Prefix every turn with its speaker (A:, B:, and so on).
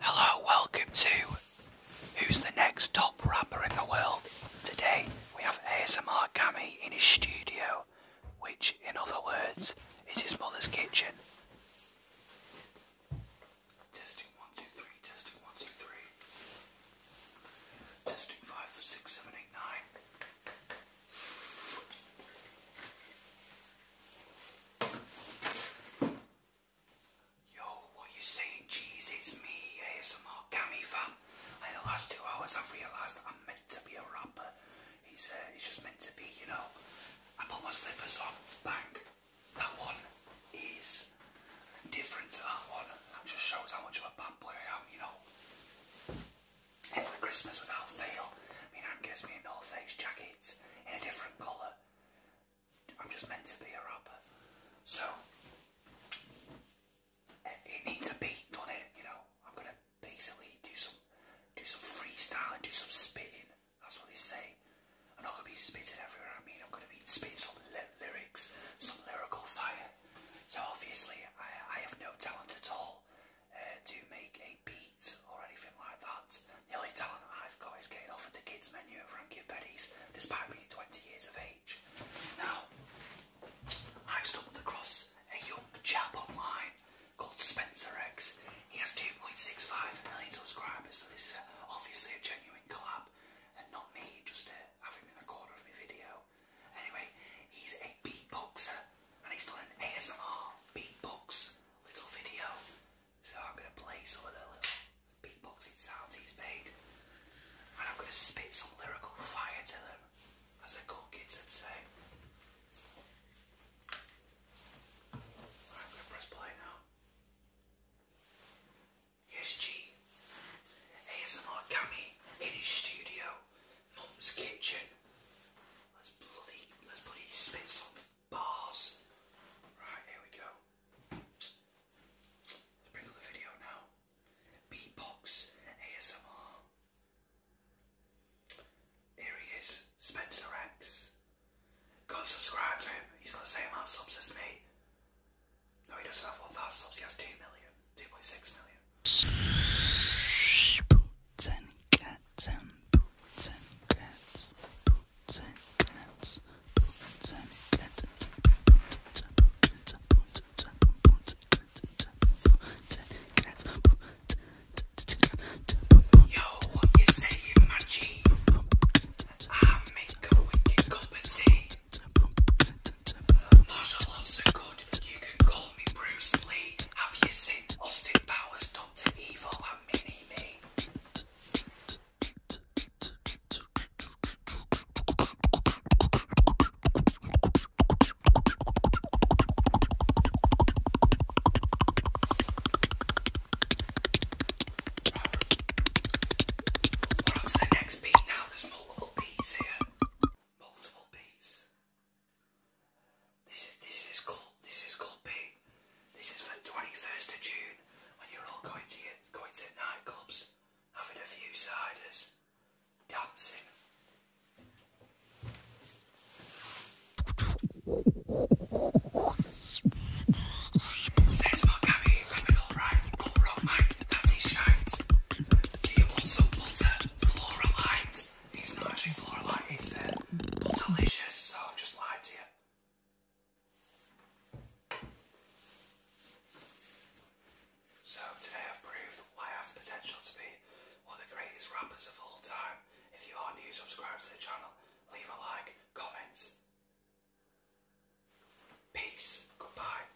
A: Hello, welcome to Who's the Next Top Rapper in the World? Today we have ASMR Gammy in his studio, which, in other words, is his mother's kitchen. Yo, what you saying? Jeez, it's me, ASMR Gammy fan. In the last two hours, I've realised I'm meant to be a rapper. It's, uh, it's just meant to be, you know. I put my slippers on, bang. That one is different to that one. That just shows how much of a bad boy I am, you know. Every Christmas without fail, I mean, Anne me a North Face jacket in a different colour. I'm just meant to be a rapper. So, it needs a beat, on it, you know. I'm going to basically do some do some freestyling, do some spitting. That's what they say. I'm going to be spitting everywhere, I mean, I'm going to be spitting some lyrics, some lyrical fire. So obviously, I have no talent at all uh, to make a beat or anything like that. The only talent I've got is getting offered the kids menu at Frankie and Betty's, despite being 20 years of age. Now, I stumbled across a young chap online called Spencer X. He has 2.65 million subscribers, so this is obviously a genuine collab, and not me just uh, having him in the corner of my video. Anyway, he's a beatboxer, and he's done an ASMR beatbox little video. So I'm going to play some of the little beatboxing sounds he's made. And I'm going to spit some lyrical fire to them, as the cool kids would say. I'm going to press play now. Yes, G. ASMR Gammy in his studio Mum's kitchen. Let's bloody let's bloody spit some bars. Right, here we go. Let's bring up the video now. Beatbox ASMR. Here he is, Spencer X. Go subscribe to him. He's got the same amount of subs as me. No, he doesn't have 1,000 subs. He has 2 million, 2.6 million. Boots and cats and boots and cats, boots and cats, boots and cats, boots and cats, boots and Yo, what you saying, my G? I make a wicked cup of tea. Martial arts are good, you can call me Bruce Lee. Have you seen Austin Powers done to Evil and Mini Me? Right. the next beat now. There's multiple beats here. Multiple beats. This is this is called this is called Pete. This is for twenty first of June when you're all going to going to nightclubs, having a few ciders, dancing. Says my Gabby, I've been alright, all mate a t-shirt. He also some water. floral light. He's not actually floral light, he's uh, delicious, so I've just lied to you. So today I've proved I have the potential to be one of the greatest rappers of all time. If you are new, subscribe to the channel, leave a like, comment. Peace, goodbye.